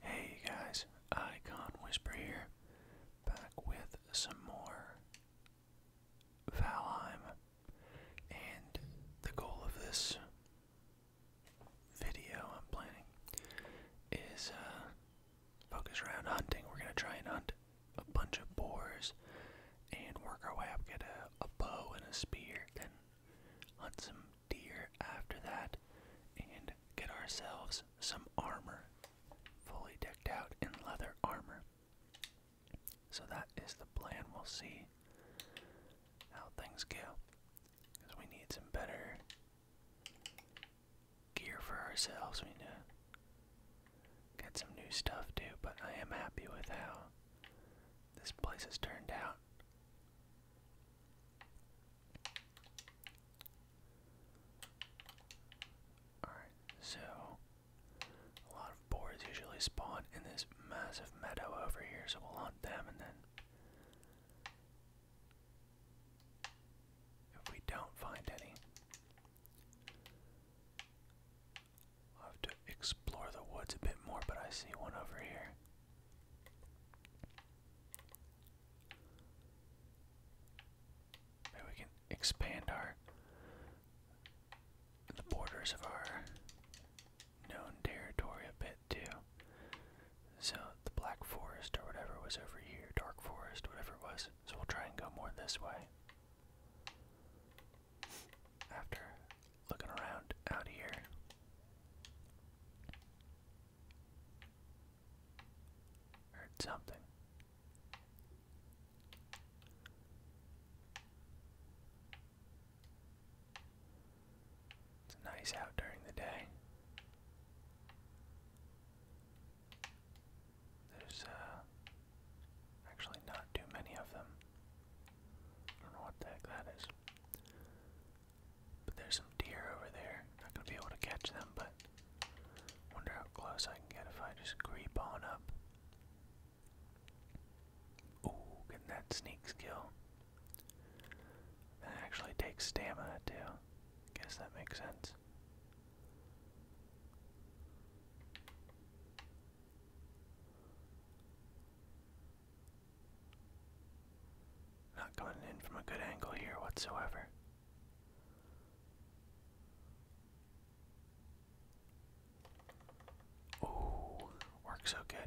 Hey guys, Icon Whisper here, back with some more Valheim. And the goal of this video I'm planning is uh, focus around hunting. We're gonna try and hunt a bunch of boars and work our way up, get a, bow and a spear, hunt some deer after that, and get ourselves some armor, fully decked out in leather armor. So that is the plan. We'll see how things go. Because we need some better gear for ourselves. We need to get some new stuff too, but I am happy with how this place has turned out. Alright, so a lot of boards usually spawn in this massive meadow over here, so we'll hunt them and then. If we don't find any, I'll have to explore the woods a bit more, but I see one over here. Maybe we can expand our the borders of our known territory a bit too. So the Black Forest or whatever was over here, Dark Forest, whatever it was. So we'll try and go more this way. After looking around out here. Heard something. It's nice out during the day. There's uh, actually not too many of them. I don't know what the heck that is. But there's some deer over there. Not gonna be able to catch them, but wonder how close I can get if I just creep on up. Ooh, getting that sneak skill. That actually takes stamina too. Guess that makes sense. Not coming in from a good angle here whatsoever. Oh, works so good.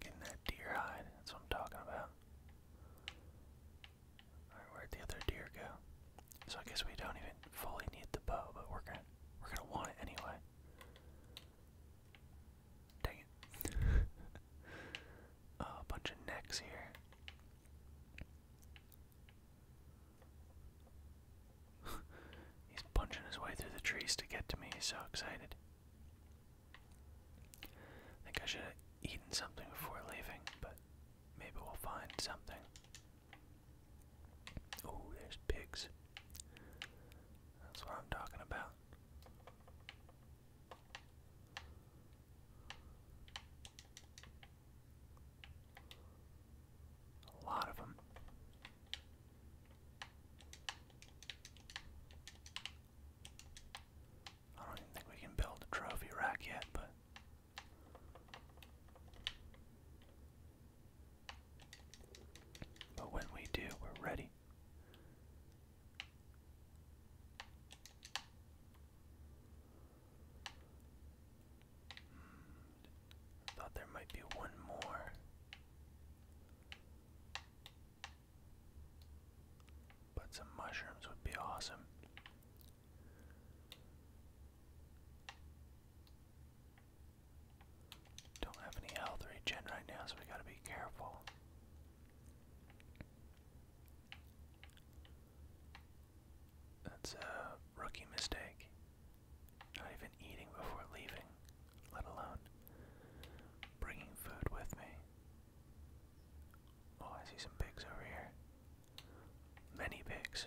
Getting that deer hide, that's what I'm talking about. Alright, where'd the other deer go? So I guess we don't even fully need the bow, but we're gonna we're gonna want it anyway. Dang it. a bunch of necks here. He's punching his way through the trees to get to me. He's so excited. I think I should have eaten something before leaving, but maybe we'll find something. Oh, there's pigs. That's what I'm talking about. A lot of them. I don't even think we can build a trophy rack yet, but but when we do, we're ready. Hmm. thought there might be one more. But some mushrooms would be awesome. Don't have any health regen right now, so we gotta be careful. That's a rookie mistake. Not even eating before leaving, let alone bringing food with me. Oh, I see some pigs over here. Many pigs.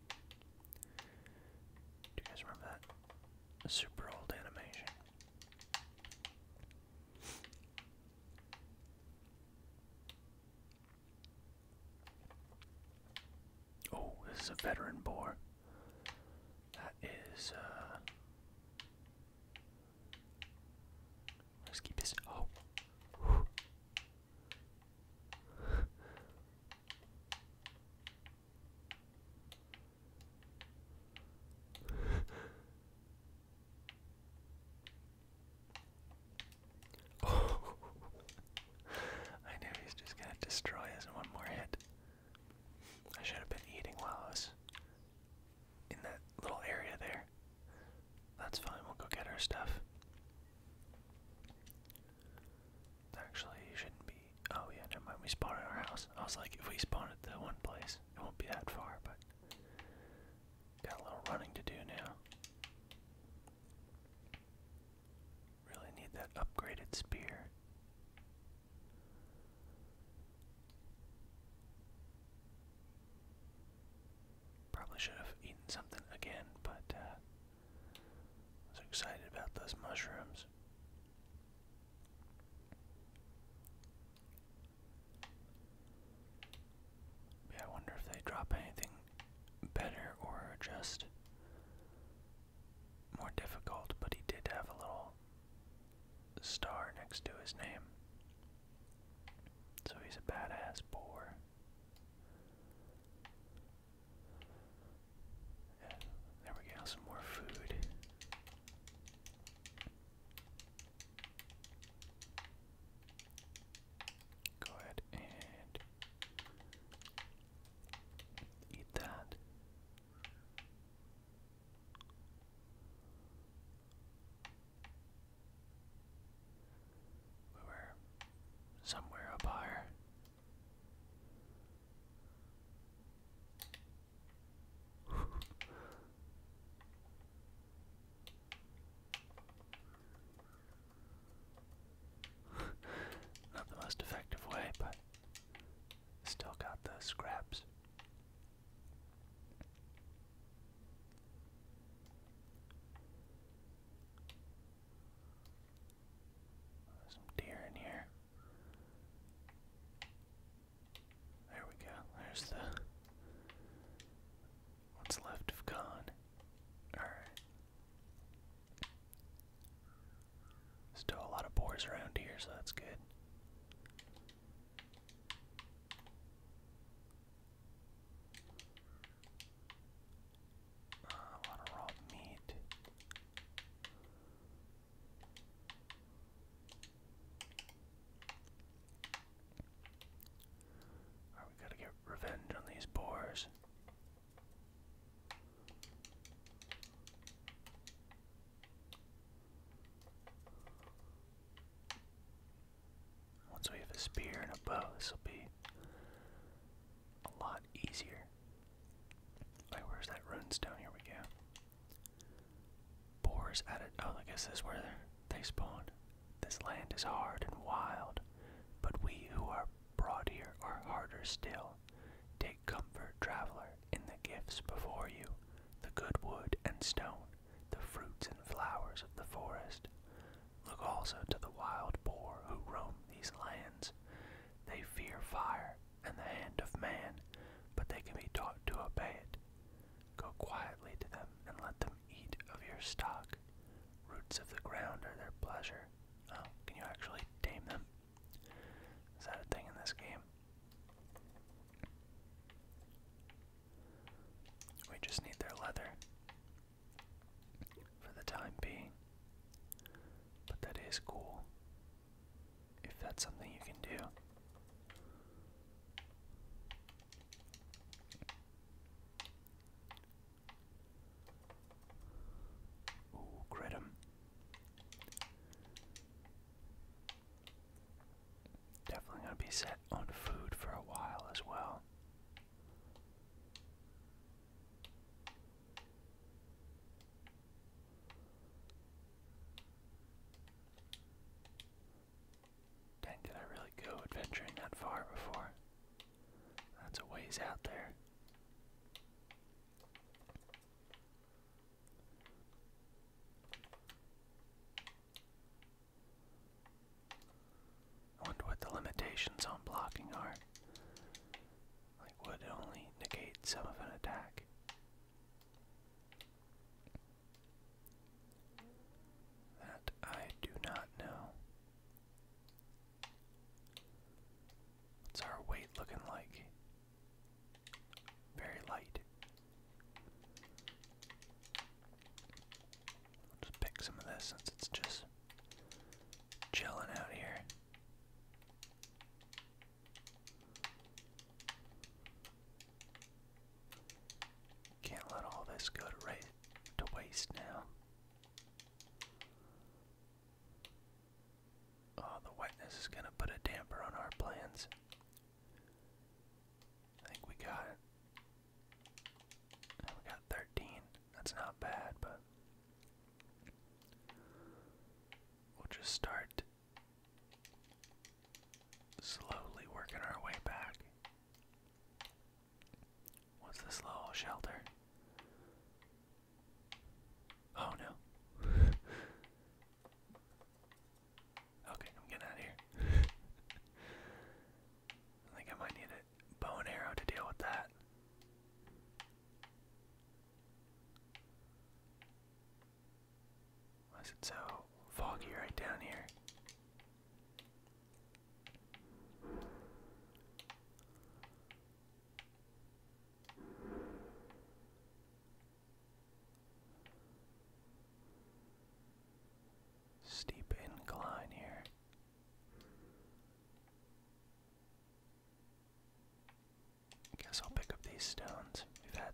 Do you guys remember that? super old animation. Oh, this is a veteran boar. That is, uh. Let's keep this. Oh oh. I knew he's just gonna destroy us in one more hit. I should have been eating while I was in that little area there. That's fine, we'll go get our stuff. Actually, you shouldn't be. Oh yeah, never mind. We spawned in our house. I was like, if we spawn at the one place, it won't be that far. But got a little running to do now. Really need that upgraded spear. Probably should have eaten something again, but uh, I was excited about those mushrooms. Yeah, I wonder if they drop anything better or just more difficult, but he did have a little star next to his name. So he's a badass boar there we go, some more food. Go ahead and eat that. We were somewhere up higher. Not the most effective way, but still got the scraps. There's some deer in here. There we go. There's the what's left of Khan. Alright. Still a lot of boars around here, so that's good. Uh, a raw meat. we gotta get revenge on these boars. Once we have a spear and a bow, this will be a lot easier where's that runestone? Here we go. Boars added. Oh, I guess this where they spawn. This land is hard and wild, but we who are brought here are harder still. Take comfort, traveler, in the gifts before you the good wood and stone, the fruits and flowers of the forest. Look also to the wild boar who roam these lands. They fear fire and the hand of man, but they can be taught to obey it. Go quietly to them and let them eat of your stock. Roots of the ground are their pleasure. Oh, can you actually tame them? Is that a thing in this game? We just need their leather for the time being. But that is cool. If that's something you can do. Ooh, crit Definitely gonna be set on food for a while as well. Dang, did I really go adventuring that far before? That's a ways out there. I wonder what the limitations on blocking are. Like, would only negate some of an attack. That I do not know. What's our weight looking like? Very light. I'll just pick some of this since it's just chilling out here. Can't let all this go to, to waste now. Oh, the wetness is going to put a damper on our plans. I think we got it. we got 13. That's not bad, but We'll just start slowly working our way back. What's this little shelter? Oh no. okay, I'm getting out of here. I think I might need a bow and arrow to deal with that. Why is it so foggy right down here? Steep incline here. I guess I'll pick up these stones. We've had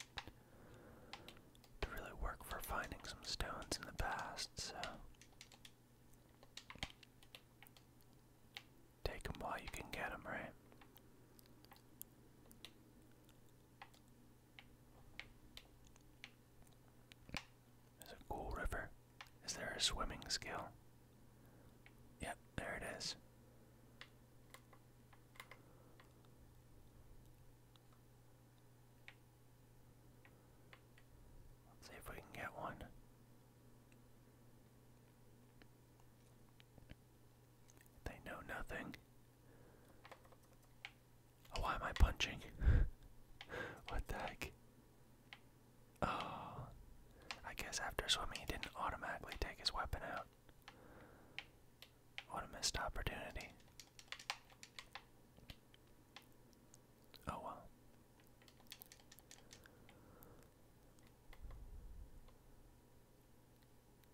to really work for finding some stones in the past, so. Take them while you can get them, right? There's a cool river. Is there a swimming skill? Yeah, there it is. Let's see if we can get one. They know nothing. why am I punching? what the heck? Oh. I guess after swimming, he didn't automatically take his weapon out. What a missed opportunity. Oh well.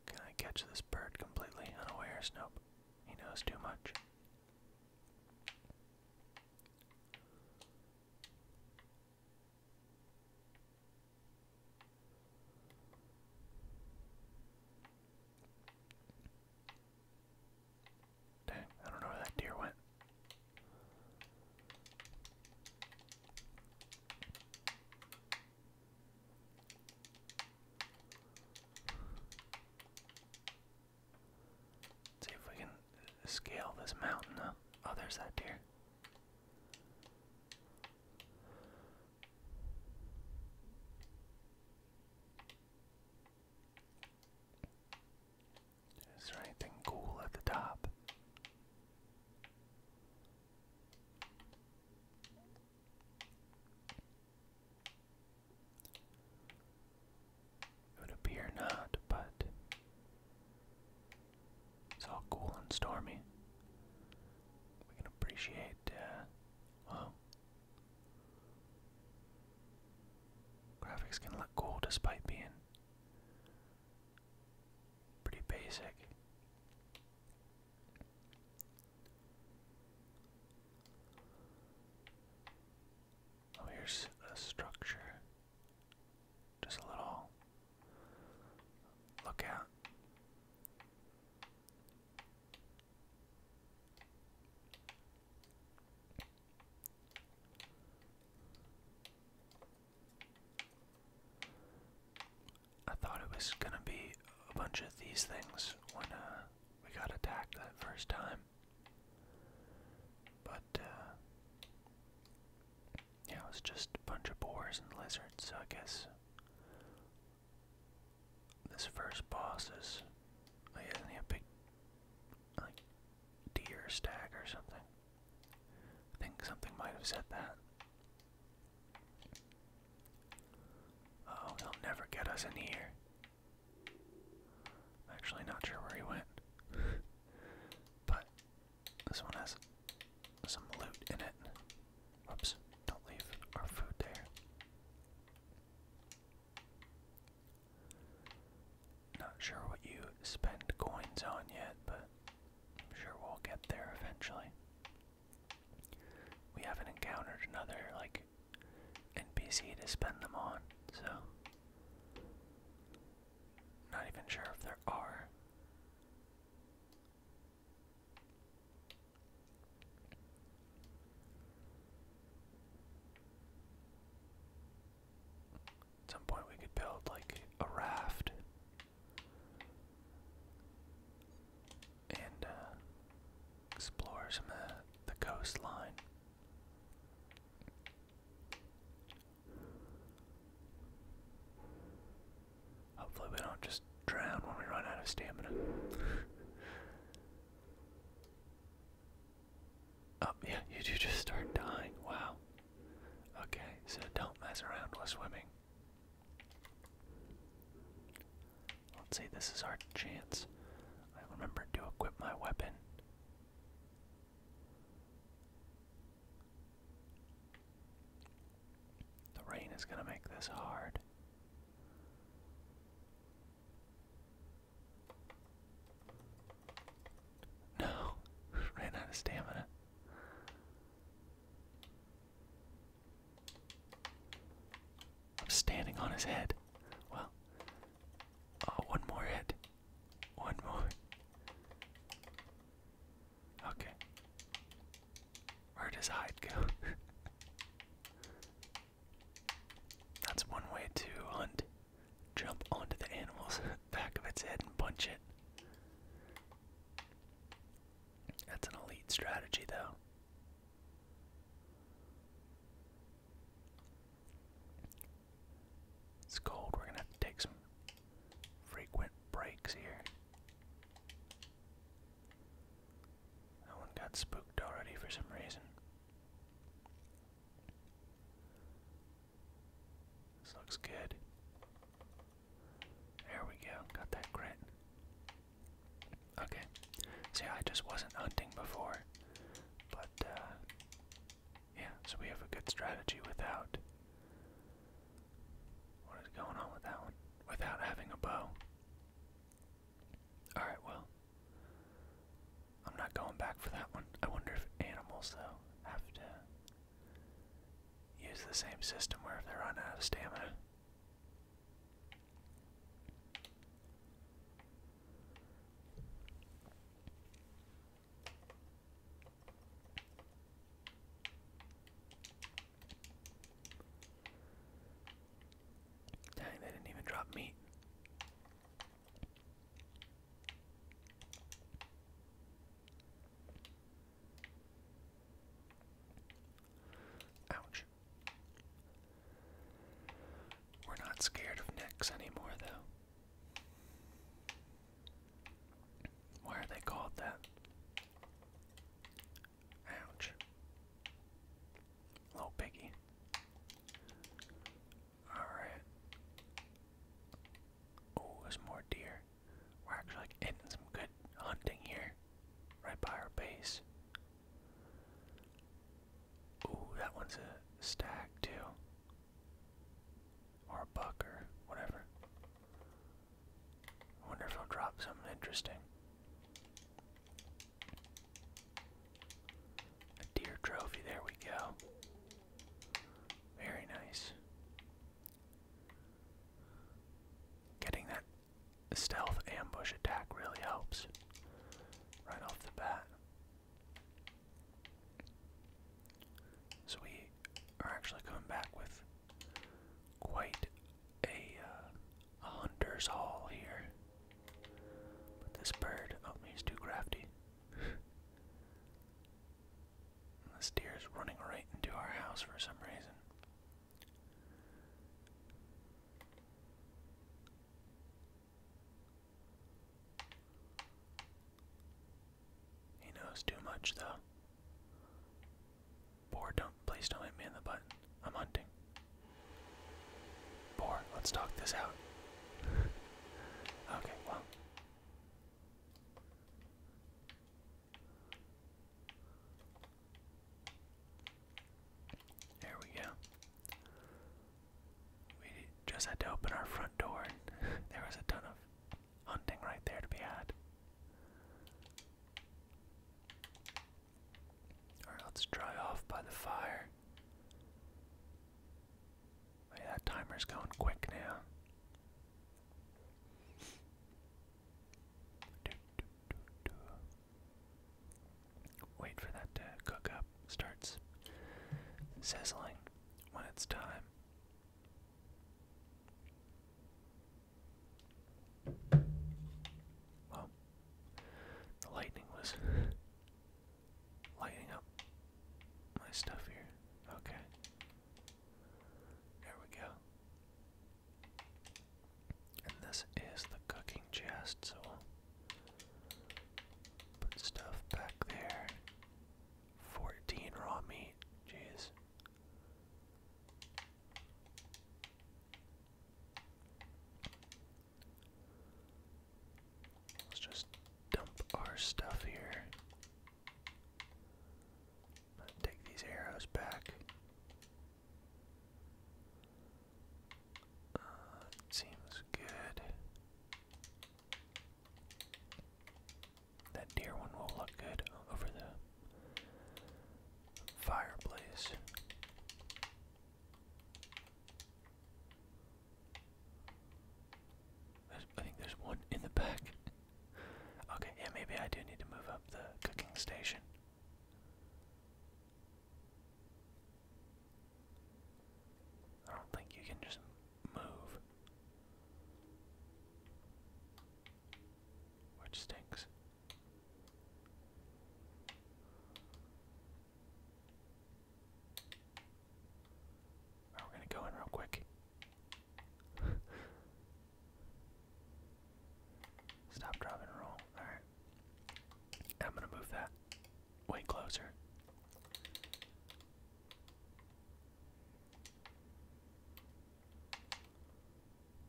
Can I catch this bird completely unawares? Nope. He knows too much. Dang, I don't know where that deer went. see if we can scale this mountain. Oh, there's that deer. Is there anything cool at the top? It would appear not, but it's all cool and stormy. We can appreciate, well, graphics can look cool despite being pretty basic. Oh, here's a structure. Just a little Look out. I thought it was gonna be a bunch of these things when uh, we got attacked that first time, but uh, yeah, it was just a bunch of boars and lizards, so I guess this first boss is like isn't a like deer stag or something? I think something might have said that. Oh, he'll never get us in here. actually not sure where he went. but this one has some loot in it. Whoops, don't leave our food there. Not sure what you spend coins on yet, but I'm sure we'll get there eventually. We haven't encountered another, like, NPC to spend them on, so. Not even sure if there are at some point, we could build like a raft and uh, explore some the coastline. Hopefully we don't just drown when we run out of stamina. oh, yeah, you do just start dying. Wow. Okay, so don't mess around while swimming. Let's see, this is our chance. I remember to equip my weapon. The rain is going to make this hard. No, ran out of stamina. standing on his head. Well, oh, one more hit. One more. Okay. Where does hide go? That's one way to hunt. Jump onto the animal's back of its head and punch it. That's an elite strategy, though. It's cold. We're gonna take some frequent breaks here. That one got spooked already for some reason. This looks good. There we go, got that crit. Okay. See, I just wasn't hunting before. But, uh, yeah, so we have a good strategy without what is going on with that one? Without having a bow. Alright, well. I'm not going back for that one. I wonder if animals, though, have to use the same system where if they run out of stamina. Dang, they didn't even drop meat. Ouch. We're not scared of necks anymore, though. Why are they called that? Ouch. Little piggy. Alright. Oh, there's more deer. We're actually like, hitting some good hunting here. Right by our base. Ooh, that one's a stag too. Or a buck or whatever. I wonder if he'll drop something interesting. A deer trophy, there we go. Very nice. Getting that stealth ambush attack really helps right off the bat. So we are actually coming back with quite uh, a, hunter's haul here. But this bird, oh, he's too crafty. this deer is running right into our house for some reason. He knows too much, though. Boar, don't, please don't hit me in the butt. I'm hunting. Boar, let's talk this out. okay, well. There we go. We just had to open our front door, and there was a ton of hunting right there to be had. Alright, let's dry off by the fire. that timer's going quick now. Wait for that to cook up. Starts sizzling when it's time. Well, the lightning was lighting up my stuff here. Okay. There we go. And this is the cooking chest, so we'll put stuff back there. 14 raw meat. Jeez. Let's just dump our stuff here. take these arrows back. Uh, it seems good. That deer one will look good over the fireplace. There's, I think there's one in the back. okay, yeah, maybe I do need to move up the cooking station. I don't think you can just move. Which stinks. we're gonna go in real quick. Stop, drop, roll. Alright. I'm gonna move that way closer.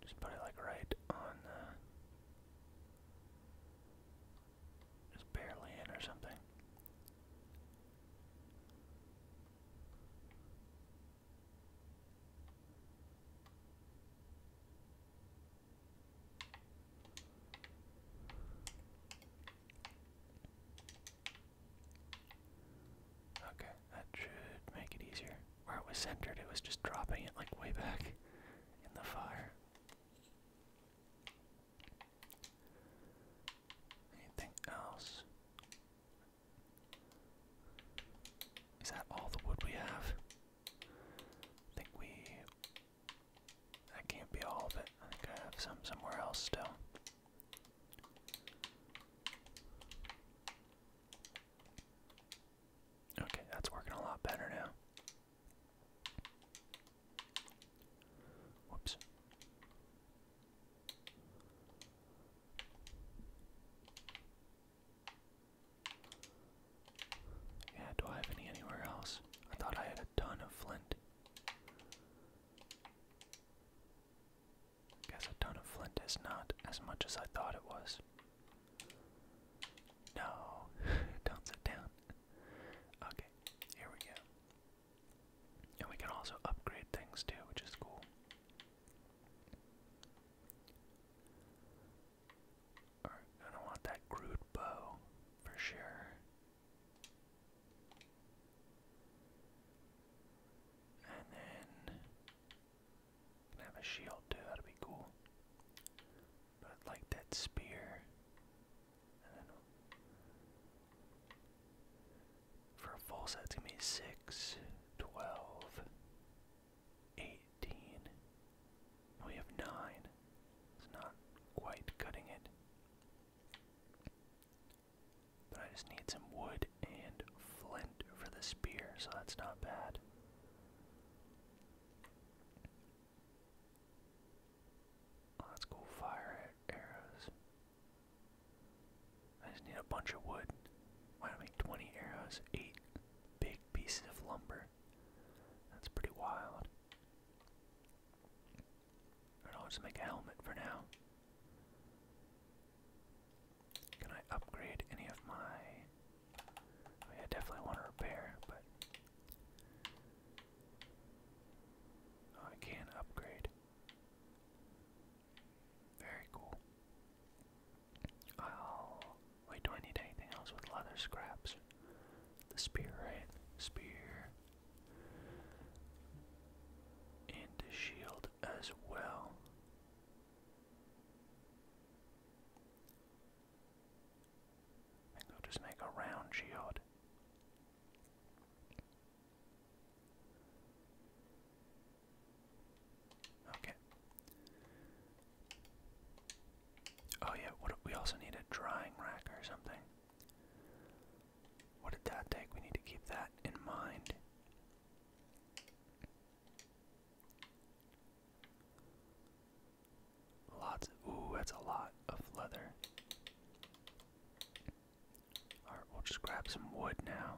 Just put it like right on Just barely in or something. Okay. That should make it easier. Where it was centered, it was just dropping it like way back in the fire. Anything else? Is that all the wood we have? I think we. That can't be all of it. I think I have some somewhere else still. Okay, that's working a lot better now. Whoops. Yeah, do I have any anywhere else? I thought I had a ton of flint. Guess a ton of flint is not as much as I thought it was. No, don't sit down. Okay, here we go. And we can also upgrade things too, which is cool. Alright, I don't want that crude bow for sure. And then can have a shield too, that'd be cool. But I'd like that spear. I do For a full set, it's gonna be 6, We have 9. It's not quite cutting it. But I just need some wood and flint for the spear, so that's not bad. Let's oh, go fire arrows. I just need a bunch of wood. Why don't I make 20 arrows, 8 big pieces of lumber? That's pretty wild. I'll just make a helmet for now. Can I upgrade any of my. I, definitely want to repair, but. Oh, I can upgrade. Very cool. I'll. do I need anything else with leather scraps? The spear, Spear. And a shield as well. I think just make a round shield. Okay. Oh yeah, what we also need a drying rack or something. What did that take? We need to keep that in mind. Lots. ooh, that's a lot of leather. Alright, we'll just grab some wood now.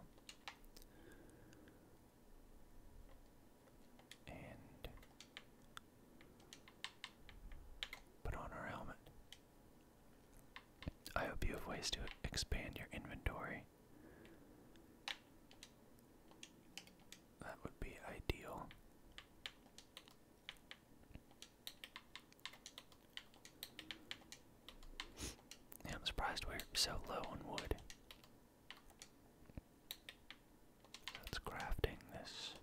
And put on our helmet. I hope you have ways to expand your inventory. That would be ideal. I'm surprised we're so low on wood. That's crafting this.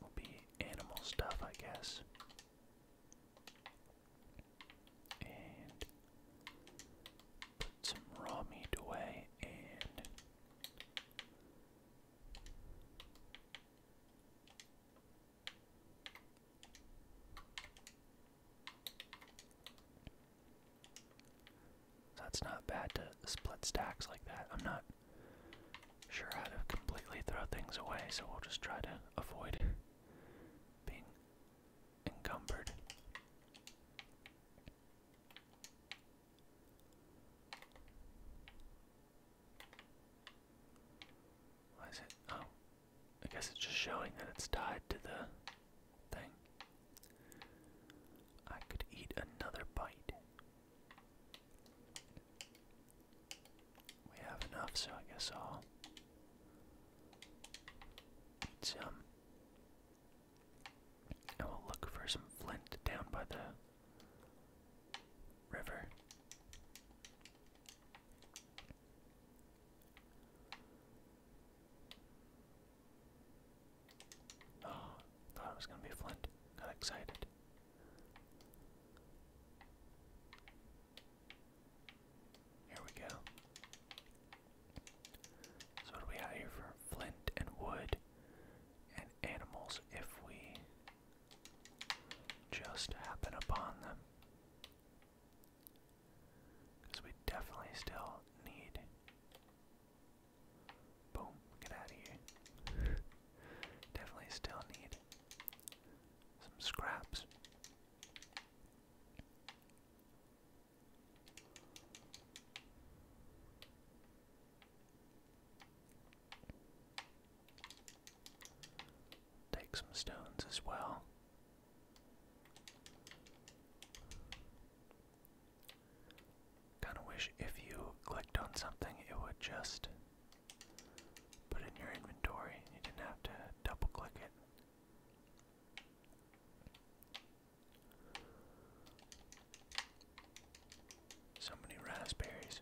Will be animal stuff, I guess and put some raw meat away and that's not bad to split stacks like that. I'm not sure how to completely throw things away, so we'll just try to avoid being encumbered. Why is it? Oh, I guess it's just showing that it's tied to the thing. I could eat another bite. We have enough, so I guess I'll it's, um, I will look for some flint down by the river. Oh, thought it was gonna be flint. Got excited. Here we go. So what do we have here for flint and wood and animals if we just happen upon them? Because we definitely still need. Boom, get out of here. definitely still need some scraps. Take some stones as well. Kind of wish if you clicked on something, it would just put in your inventory. You didn't have to double click it. So many raspberries.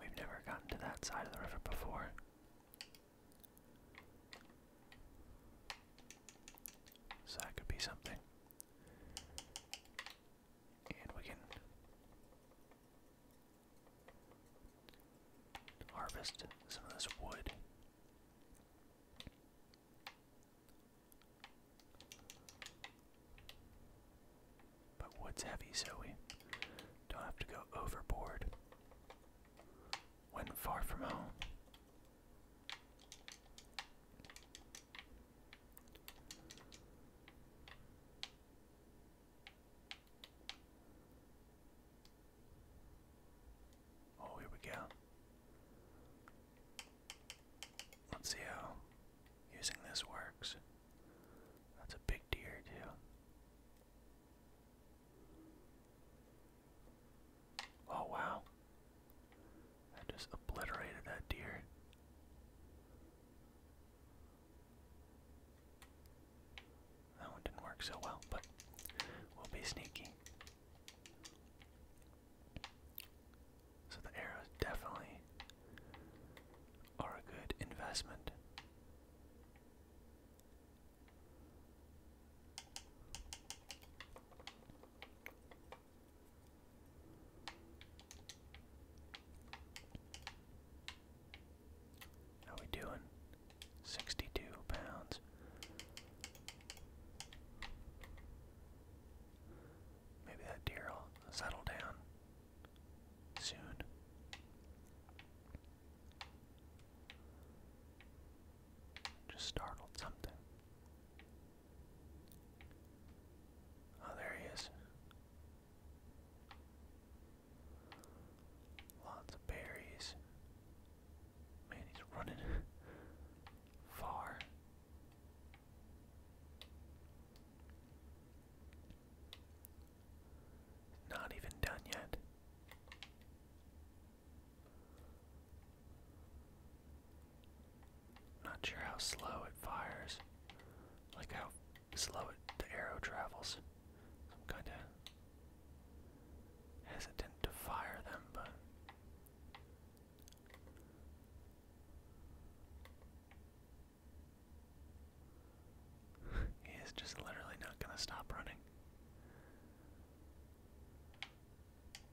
We've never gotten to that side of the river before. So that could be something. And we can harvest some of this wood. But wood's heavy, so we don't have to go overboard when far from home. Oh, here we go. Let's see how using this works. That's a big deer, too. Oh, wow. I just obliterated that deer. That one didn't work so well, but we'll be sneaky. So the arrows definitely are a good investment. How we doing? 62 pounds. Maybe that deer will settle down soon. Just startled something. Oh, there he is. Lots of berries. Man, he's running far. Not even done yet. Not sure how slow it fires. Like how slow it the arrow travels. I'm kinda hesitant to fire them, but he is just literally not gonna stop running.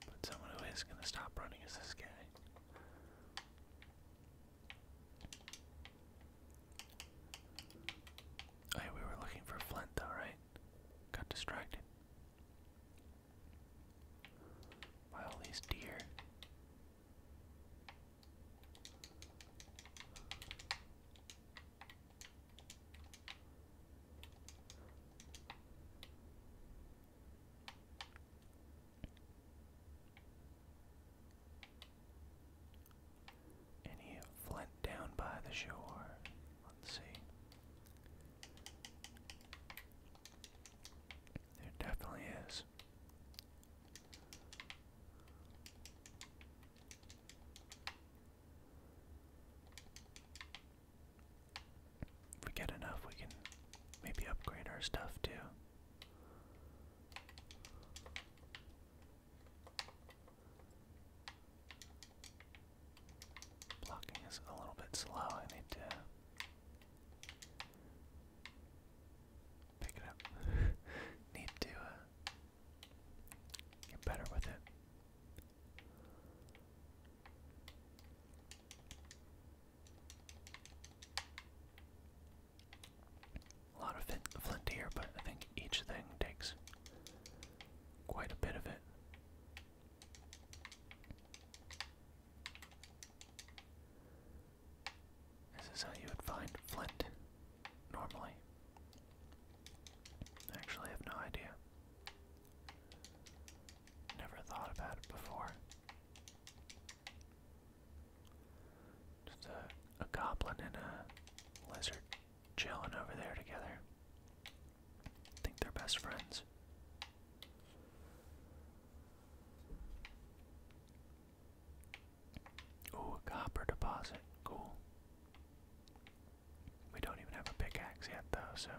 But someone who is gonna stop running is this guy. Oh, we were looking for Flint, though, right? Got distracted by all these deer. Any flint down by the shore? Let's see. There definitely is. If we get enough, we can maybe upgrade our stuff too. Blocking is a little bit slow. I need to pick it up. need to uh, get better with it. A lot of flint here, but I think each thing takes quite a bit of it. This is how you would find flint normally. Actually, I have no idea. Never thought about it before. Just a, a goblin and a lizard chilling over there together. think they're best friends. Oh, a copper deposit. Cool. We don't even have a pickaxe yet, though, so.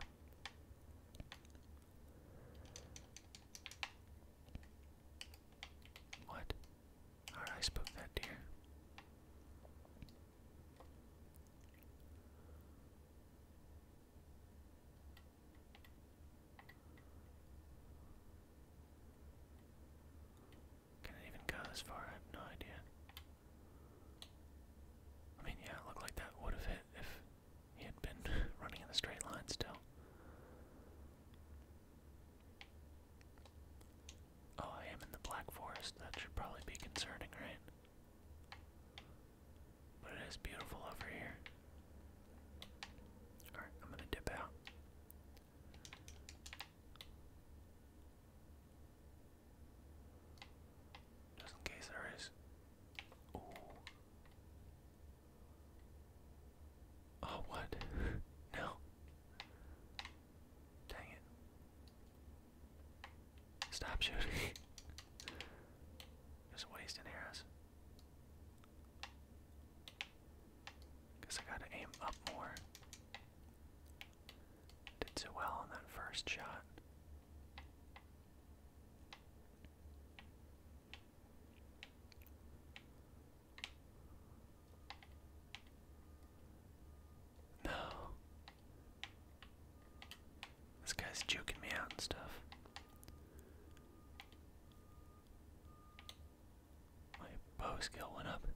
What? I spoke that deer. Can it even go this far? I have no idea. I mean, yeah, it looked like that would have hit if he had been running in the straight line still. Oh, I am in the Black Forest. That should probably be concerning, right? But it is beautiful over here. Alright, I'm gonna dip out. Just in case there is. Oh, what? no. Dang it. Stop shooting. Just wasting arrows. Guess I gotta aim up more. Did so well on that first shot. No. This guy's juking me out and stuff. My bow skill went up.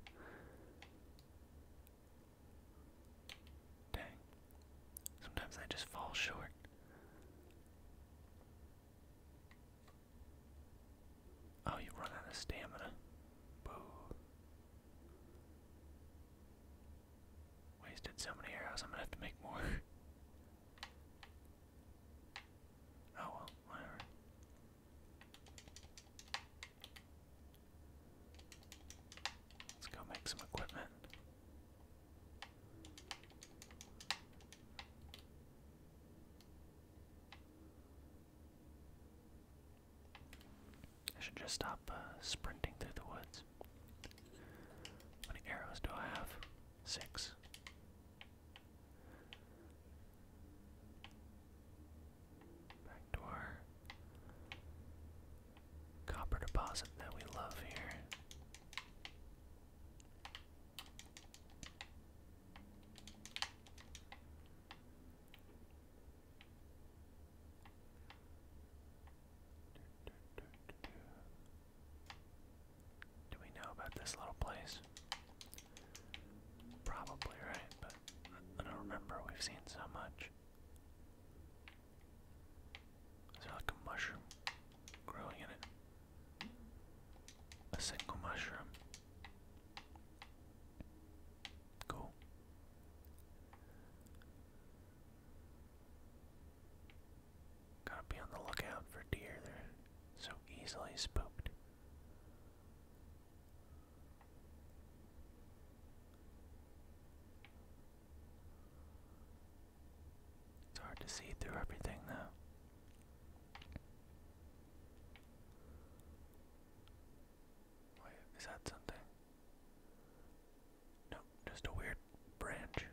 Dang. Sometimes I just fall short. Oh, you run out of stamina. Boo. Wasted so many arrows, I'm gonna have to make more. oh well, whatever. Let's go make some equipment. I should just stop uh, sprinting through the woods. How many arrows do I have? Six. Back to copper deposit that we love here. Do we know about this little place? Probably, right? But I don't remember. We've seen so much. Is there like a mushroom growing in it? A single mushroom. Cool. Gotta be on the lookout for deer, they're so easily spooked. It's hard to see through everything, though. Wait, is that something? No, just a weird branch.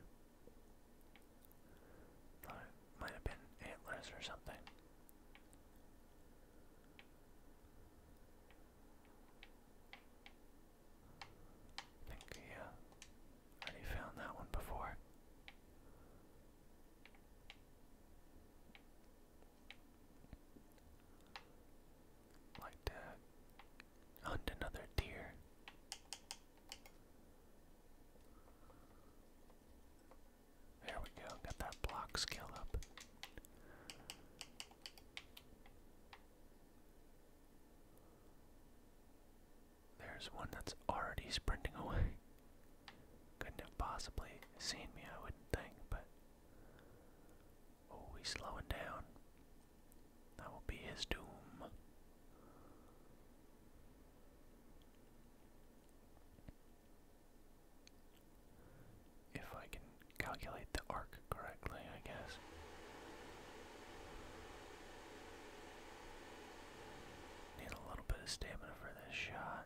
Thought it might have been antlers or something. I think he already found that one before. Like that. Hunt another deer. There we go, got that block skill up. There's one that's already sprinting away. Couldn't have possibly seen me, I wouldn't think, but. Oh, he's slowing down. That will be his doom. If I can calculate the arc correctly, I guess. Need a little bit of stamina for this shot.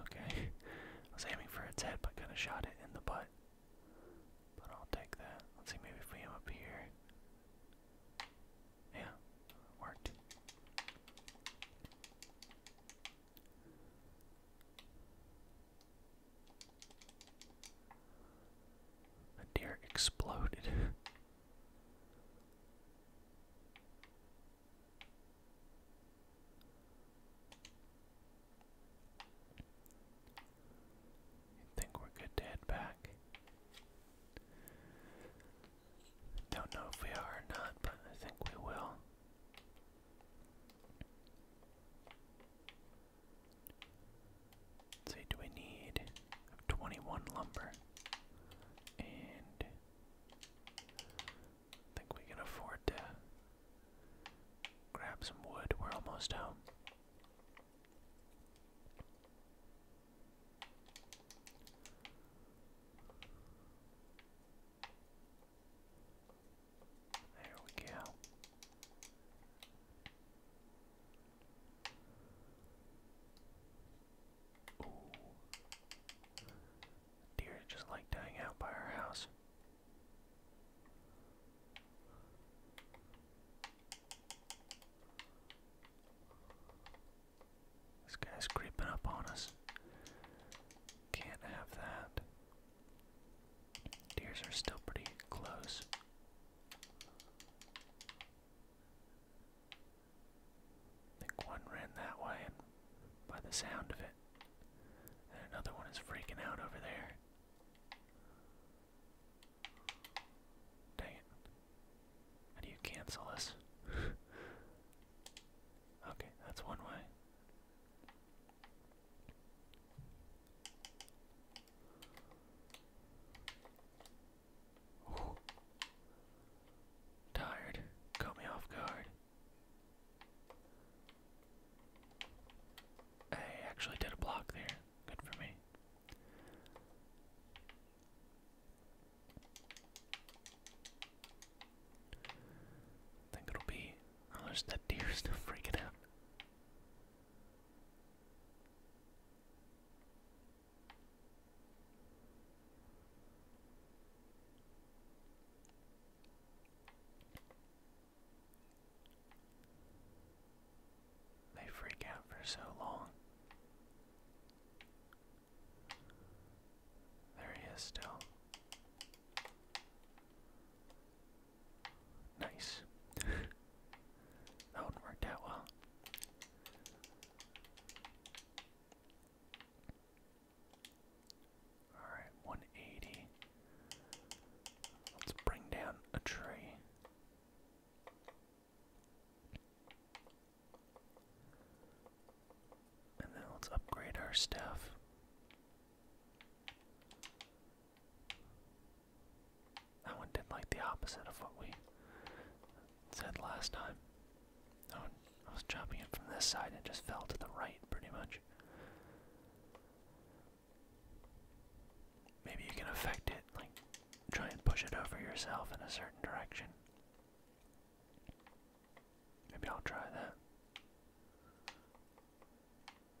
Okay. I was aiming for its head, but kind of shot it in the butt. But I'll take that. Let's see, maybe if we aim up here. Yeah, worked. A deer exploded. I think we're good to head back. Don't know if we are or not, but I think we will. see, do we need 21 lumber and I think we can afford to grab some wood. We're almost home. There we go. Ooh. Deer just like to hang out by our house. This guy's creeping up on us. Can't have that. Deers are still pretty close think one ran that way and by the sound of it. And another one is freaking out over there. Dang it. How do you cancel this? okay, that's one way. Tired. Caught me off guard. I actually did a block there. Good for me. I think it'll be unless that deer still freaking out. They freak out for so long. There he is still. Nice. that one worked out well. Alright, 180. Let's bring down a tree. And then let's upgrade our stuff. That one did like the opposite of what we said last time. I, was jumping it from this side and just fell to the right pretty much. Maybe you can affect it, like try and push it over yourself in a certain direction. Maybe I'll try that.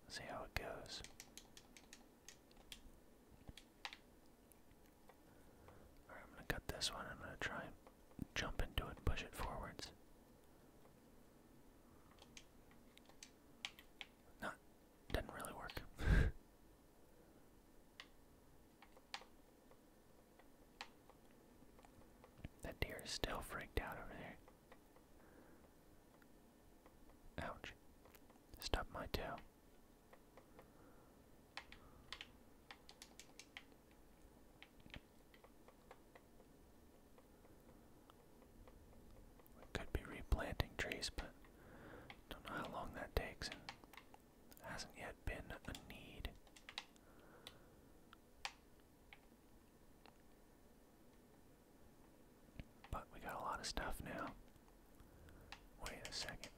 See how it goes. I'm gonna cut this one. I'm gonna try and jump into it and push it forwards. Not, didn't really work. that deer is still freaked out over there. Ouch. Stub my toe. We could be replanting trees, but don't know how long that takes hasn't yet been a need. But we got a lot of stuff now. Wait a second.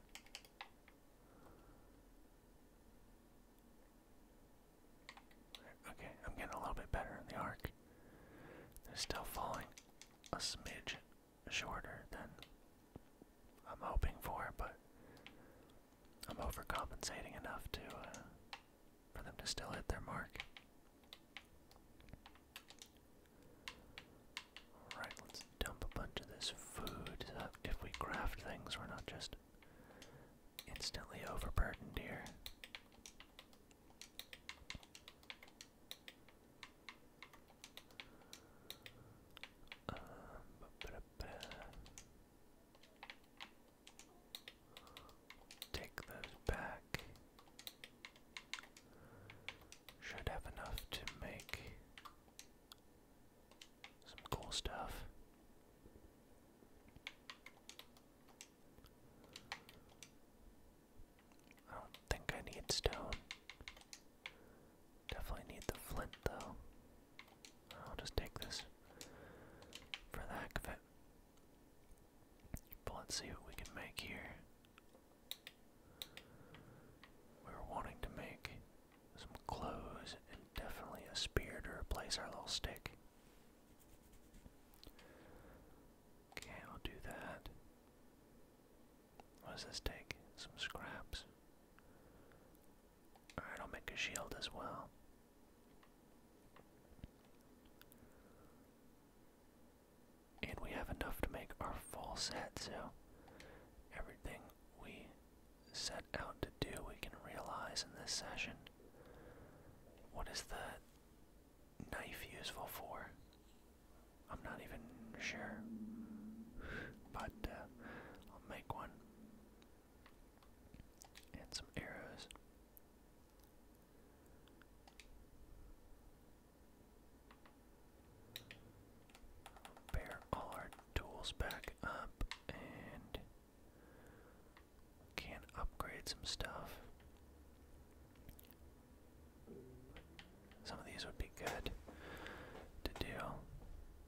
Okay, I'm getting a little bit better in the arc. They're still falling a smidge shorter than I'm hoping for, but I'm overcompensating enough to uh, for them to still hit their mark. Alright, let's dump a bunch of this food uh, if we craft things, we're not just instantly overburdened dear. Take those back. Should have enough to make some cool stuff. I don't think I need stone. Definitely need the flint though. I'll just take this for the heck of it. let's see what we can make here. We were wanting to make some clothes, and definitely a spear to replace our little stick. Okay, I'll do that. What does this Some scraps. Alright, I'll make a shield as well. And we have enough to make our full set, so everything we set out to do, we can realize in this session. What is the knife useful for? I'm not even sure, but uh, I'll make one. And some arrows. Bear all tools back up and can upgrade some stuff. Some of these would be good to do.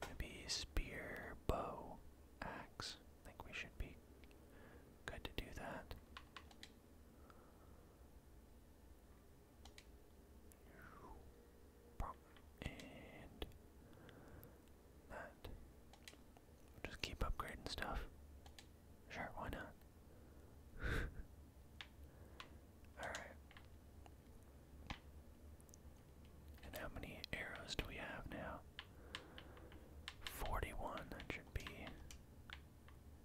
Maybe spear, bow, axe. think we should be good to do that. And that. just keep upgrading stuff. Sure, why not? Alright. And how many arrows do we have now? 41. That should be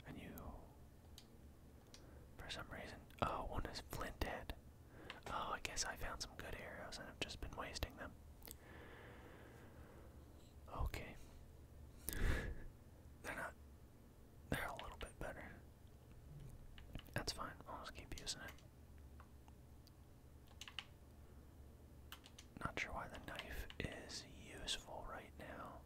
a new. For some reason. Oh, one is flint head. Oh, I guess I found some good arrows and I've just been wasting them. Okay. they're not. They're a little bit better. That's fine. I'll just keep using it. Not sure why the knife is useful right now.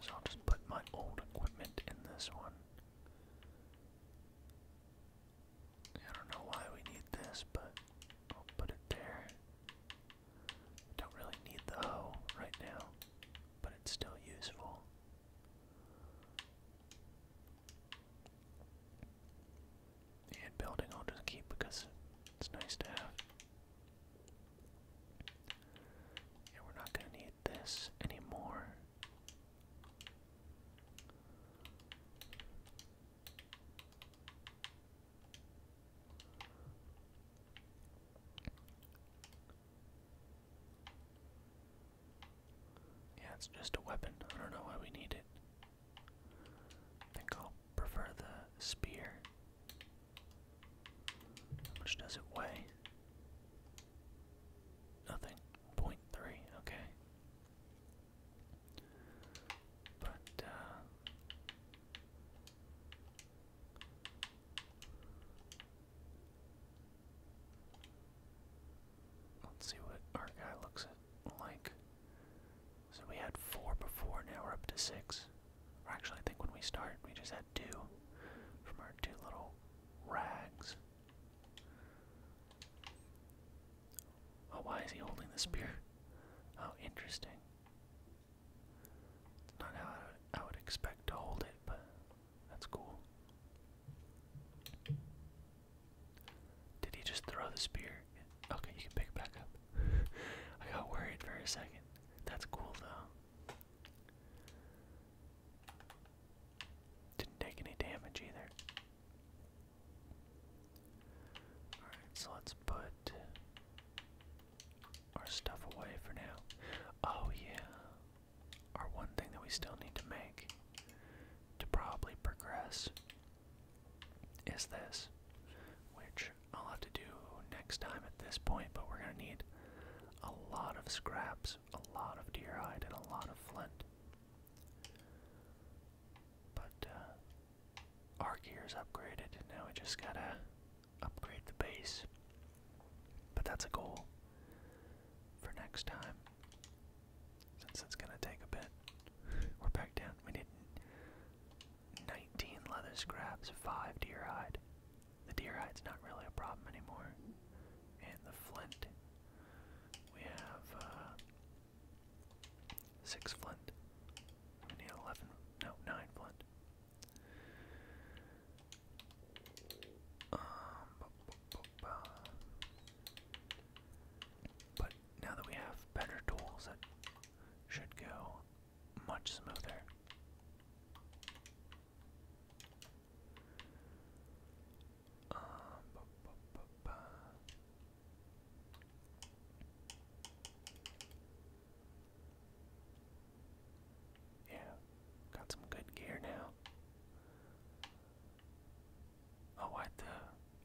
So I'll just put my old equipment in this one. I don't know why we need this, but I'll put it there. Don't really need the hoe right now, but it's still useful. And building I'll just keep because it's nice to have. And we're not going to need this anymore. Yeah, it's just a weapon. I don't know why we need it. I think I'll prefer the spear. How much does it weigh? Nothing. Point three, okay. But, uh, Let's see what our guy looks like. So we had four before, now we're up to six actually, I think when we start, we just had two from our two little rags. Oh, why is he holding the spear? Oh, interesting. It's not how I would expect to hold it, but that's cool. Did he just throw the spear? Okay, you can pick it back up. I got worried for a second. That's cool, though. Didn't take any damage either. Alright, so let's put our stuff away for now. Oh, yeah. Our one thing that we still need to make to probably progress is this, which I'll have to do next time at this point, but we're going to need a lot of scraps, a lot of deer hide, and a lot of flint. But uh, our gear is upgraded, now we just gotta upgrade the base. But that's a goal for next time, since it's gonna take a bit. We're back down. We need 19 leather scraps, 5 deer hide, the deer hide's not really a problem anymore. And the flint. We have uh, six flint. We need eleven. No, nine flint. Um, but now that we have better tools, that should go much smoother. Yeah, got some good gear now. Oh, I the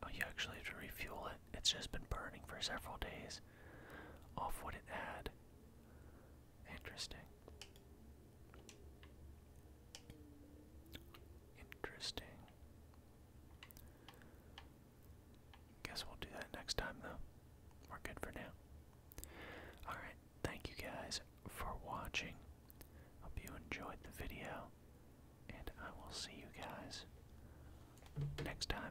oh, you actually have to refuel it. It's just been burning for several days. Off what it had. Interesting. Interesting. Guess we'll do that next time, though. We're good for now. Alright, thank you guys for watching. Hope you enjoyed the video, and I will see you guys next time.